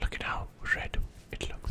Look at how red it looks.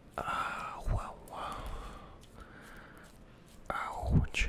Ah, uh, wow, wow. Ouch.